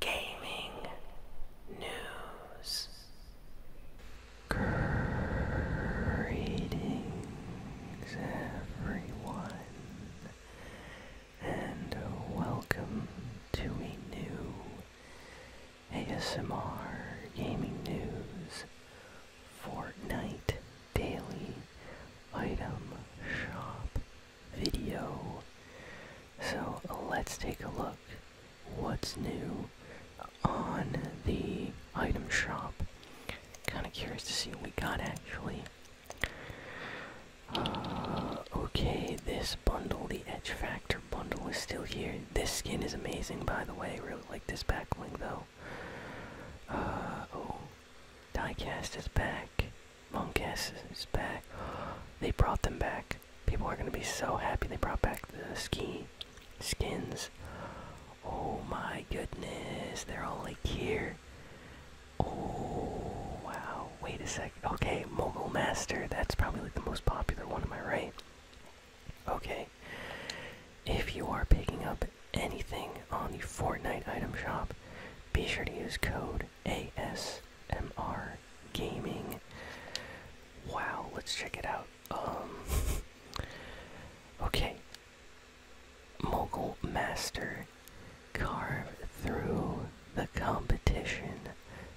gaming news. Greetings, everyone, and welcome to a new ASMR Gaming News Fortnite Daily Item Shop video. So let's take a look what's new on the item shop. Kind of curious to see what we got actually. Uh, okay, this bundle, the Edge Factor bundle, is still here. This skin is amazing, by the way. Really like this backlink though. Uh, oh, Diecast is back. Mongus is back. They brought them back. People are gonna be so happy they brought back the ski skins. Oh my goodness, they're all like here. Oh wow, wait a sec. Okay, Mogul Master, that's probably like the most popular one, am I right? Okay. If you are picking up anything on the Fortnite item shop, be sure to use code ASMR gaming. Wow, let's check it out. Um Okay. Mogul Master Carve Through the Competition.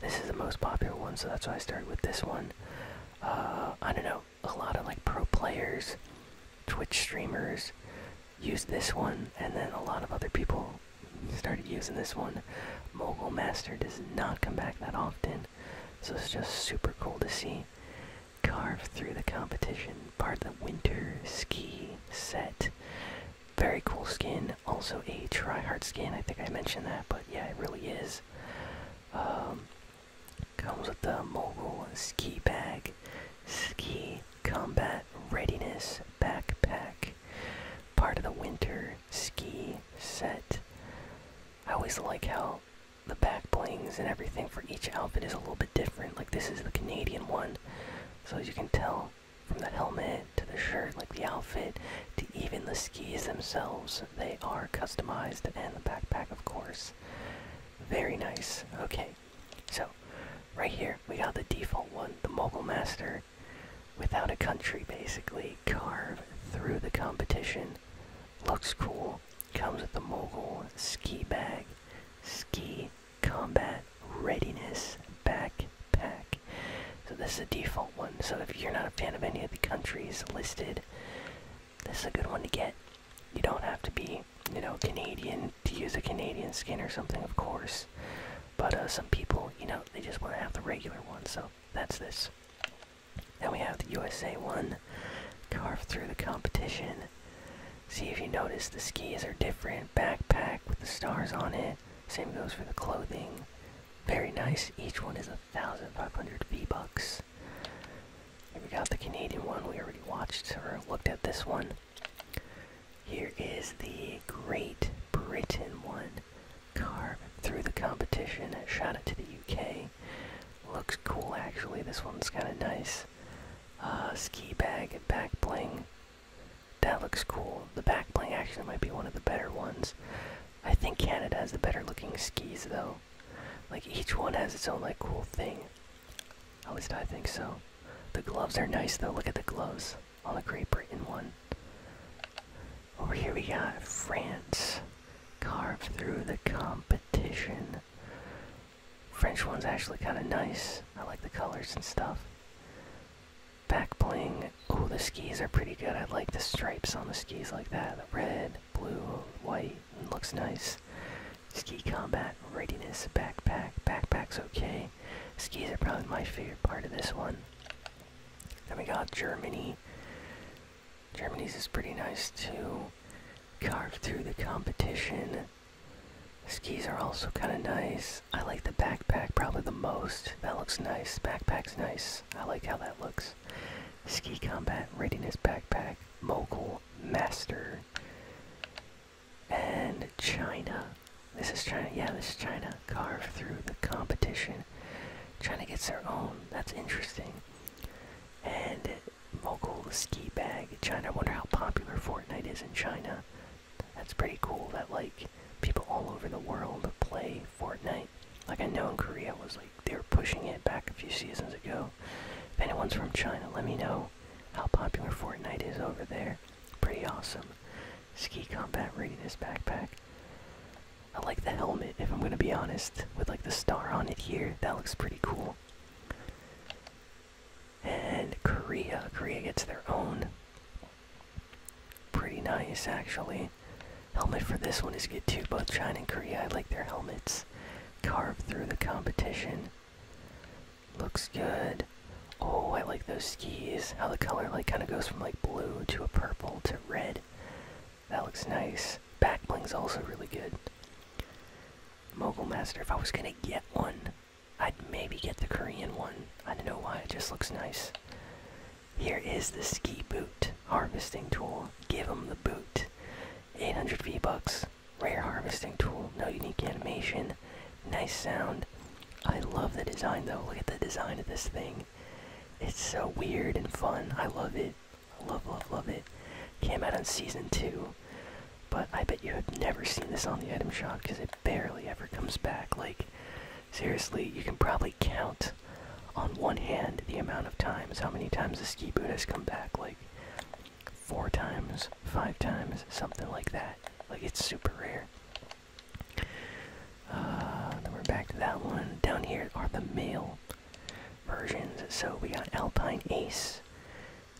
This is the most popular one, so that's why I started with this one. Uh I don't know, a lot of like pro players, Twitch streamers, used this one, and then a lot of other people started using this one. Mogul Master does not come back that often, so it's just super cool to see. Carve through the competition, part of the winter ski set. Very cool skin, also a tryhard skin. I think I mentioned that, but yeah, it really is. Um, comes with the mogul ski bag, ski Combat Readiness Backpack. Part of the Winter Ski Set. I always like how the back blings and everything for each outfit is a little bit different. Like this is the Canadian one. So as you can tell from the helmet to the shirt, like the outfit, to even the skis themselves, they are customized and the backpack of course. Very nice. Okay, so, right here, we got the default one, the Mogul Master, without a country basically. Carve through the competition. Looks cool. Comes with the Mogul Ski Bag, Ski Combat Readiness Backpack. So, this is a default one. So, if you're not a fan of any of the countries listed, this is a good one to get you don't have to be, you know, Canadian to use a Canadian skin or something, of course. But uh, some people, you know, they just want to have the regular one, so that's this. Then we have the USA one. carved through the competition. See if you notice the skis are different. Backpack with the stars on it. Same goes for the clothing. Very nice. Each one is a thousand five hundred V bucks. We got the Canadian one we already watched or looked at this one. Here is the Great Britain one. Car through the competition. Shot it to the UK. Looks cool actually. This one's kind of nice. Uh, ski bag back bling. That looks cool. The back bling actually might be one of the better ones. I think Canada has the better looking skis though. Like each one has its own like cool thing. At least I think so. The gloves are nice though. Look at the gloves on the Great Britain one. Over here we got France. Carved through the competition. French one's actually kind of nice. I like the colors and stuff. Back bling. Oh, the skis are pretty good. I like the stripes on the skis like that. The red, blue, white looks nice. Ski combat readiness backpack. Backpack's okay. Skis are probably my favorite part of this one. Then we got Germany. Germany's is pretty nice too. Carve through the competition. Skis are also kind of nice. I like the backpack probably the most. That looks nice. Backpack's nice. I like how that looks. Ski Combat Readiness Backpack, Mogul Master, and China. This is China. Yeah, this is China. Carve through the competition. China gets their own. That's interesting. And Mogul Ski Bag. China. I wonder how popular Fortnite is in China. That's pretty cool that, like, people all over the world play Fortnite. Like, I know in Korea was, like, they were pushing it back a few seasons ago. If anyone's from China, let me know how popular Fortnite is over there. Pretty awesome. Ski combat raid is backpack. I like the helmet, if I'm gonna be honest, with like the star on it here. That looks pretty cool. And Korea. Korea gets their own pretty nice actually. Helmet for this one is good too. Both China and Korea, I like their helmets. Carved through the competition. Looks good. Oh, I like those skis. How the color like kind of goes from like blue to a purple to red. That looks nice. Back bling's also really good. Mogul Master, if I was gonna get one, I'd maybe get the Korean one. I don't know why, it just looks nice. Here is the ski boot harvesting tool. Give them the boot. 800 V bucks. Rare harvesting tool. No unique animation. Nice sound. I love the design though. Look at the design of this thing. It's so weird and fun. I love it. Love, love, love it. Came out on season two, but I bet you have never seen this on the item shop because it barely ever comes back. Like, seriously, you can probably count on one hand the amount of times how many times the ski boot has come back like four times five times something like that like it's super rare uh, then we're back to that one down here are the male versions so we got alpine ace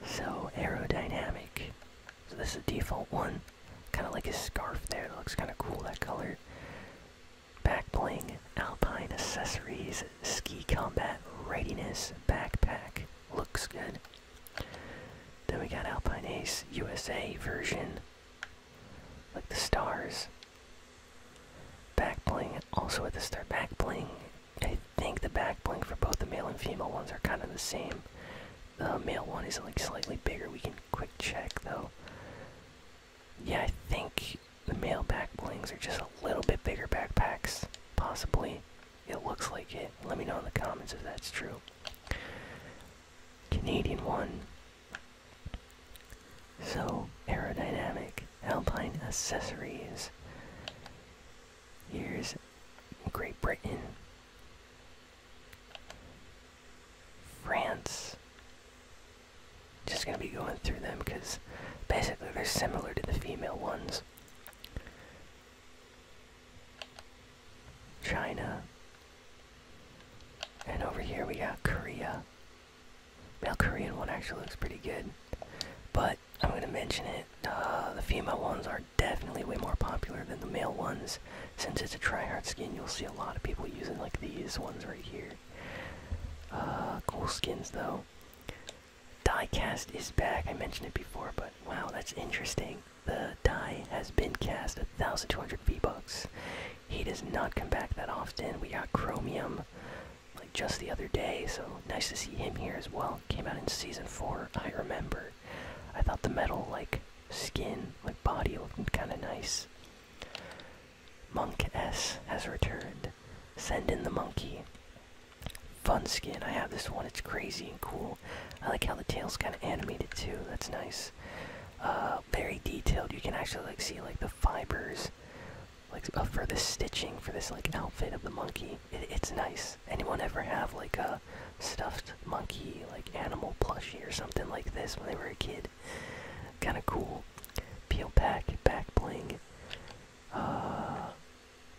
so aerodynamic so this is the default one Kind of like a scarf there. That looks kind of cool, that color. Back bling, alpine accessories, ski combat, readiness, backpack. Looks good. Then we got Alpine Ace USA version. Like the stars. Back bling, also with the star back bling. I think the back bling for both the male and female ones are kind of the same. The uh, male one is like slightly bigger. We can quick check though. Yeah, I think the male back blings are just a little bit bigger backpacks, possibly. It looks like it. Let me know in the comments if that's true. Canadian one. So, aerodynamic alpine accessories. Here's Great Britain. France. Just gonna be going through them because basically they're similar to the female ones. China. And over here we got Korea. Male Korean one actually looks pretty good. But I'm gonna mention it. Uh, the female ones are definitely way more popular than the male ones. Since it's a tryhard skin, you'll see a lot of people using like these ones right here. Uh, cool skins though. Diecast is back. I mentioned it before, but wow, that's interesting. The die has been cast 1,200 V-Bucks. He does not come back that often. We got Chromium like just the other day, so nice to see him here as well. Came out in season 4, I remember. I thought the metal, like, skin, like, body looked kinda nice. Monk S has returned. Send in the monkey. Fun skin. I have this one. It's crazy and cool. I like how the tail's kind of animated too. That's nice. Uh, very detailed. You can actually like see like the fibers, like uh, for the stitching for this like outfit of the monkey it's nice. Anyone ever have like a stuffed monkey, like animal plushie or something like this when they were a kid? Kind of cool. Peel pack, back bling. Uh,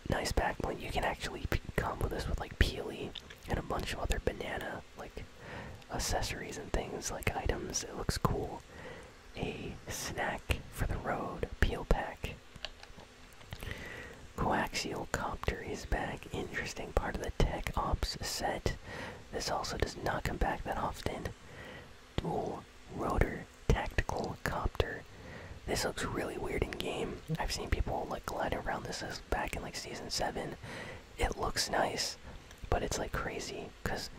nice back bling. You can actually come with this with like peely and a bunch of other banana like accessories and things like items. It looks cool. A snack for the road peel pack. Coaxial Copter is back. Interesting part of the Tech Ops set. This also does not come back that often. Dual Rotor Tactical Copter. This looks really weird in game. I've seen people like gliding around this as back in like season 7. It looks nice, but it's like crazy because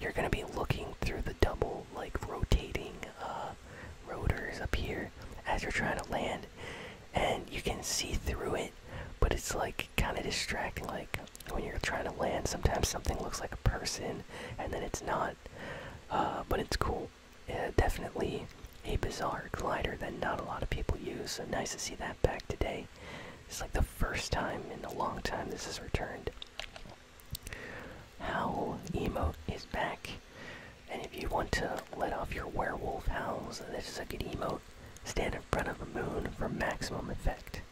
you're gonna be looking through the double like rotating uh, rotors up here as you're trying to land and you can see through it but it's like kind of distracting like when you're trying to land sometimes something looks like a person and then it's not uh, but it's cool definitely a bizarre glider that not a lot of people use nice to see that back today it's like the first time in a long time this has returned Howl emote is back, and if you want to let off your werewolf howls, this is a good emote. Stand in front of a moon for maximum effect.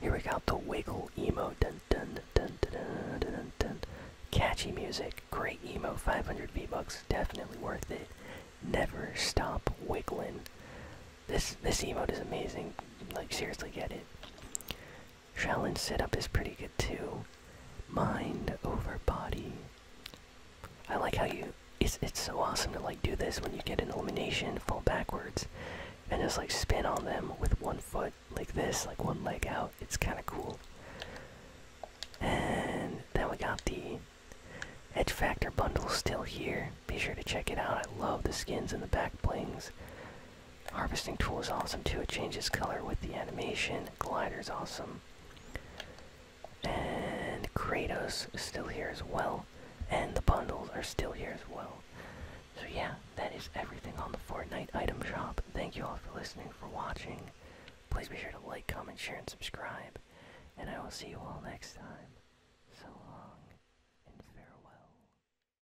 Here we got the wiggle emote. Dun dun dun dun dun dun dun. dun. Catchy music, great emote. 500 V bucks, definitely worth it. Never stop wiggling. This this emote is amazing. Like seriously, get it. Shaolin setup is pretty good too. Mind over body. I like how you. It's it's so awesome to like do this when you get an elimination, fall backwards, and just like spin on them with one foot like this, like one leg out. It's kind of cool. And then we got the Edge Factor bundle still here. Be sure to check it out. I love the skins and the back blings. Harvesting tool is awesome too. It changes color with the animation. Glider's awesome. And Kratos is still here as well. And the bundles are still here as well. So yeah, that is everything on the Fortnite item shop. Thank you all for listening, for watching. Please be sure to like, comment, share, and subscribe. And I will see you all next time. So long and farewell.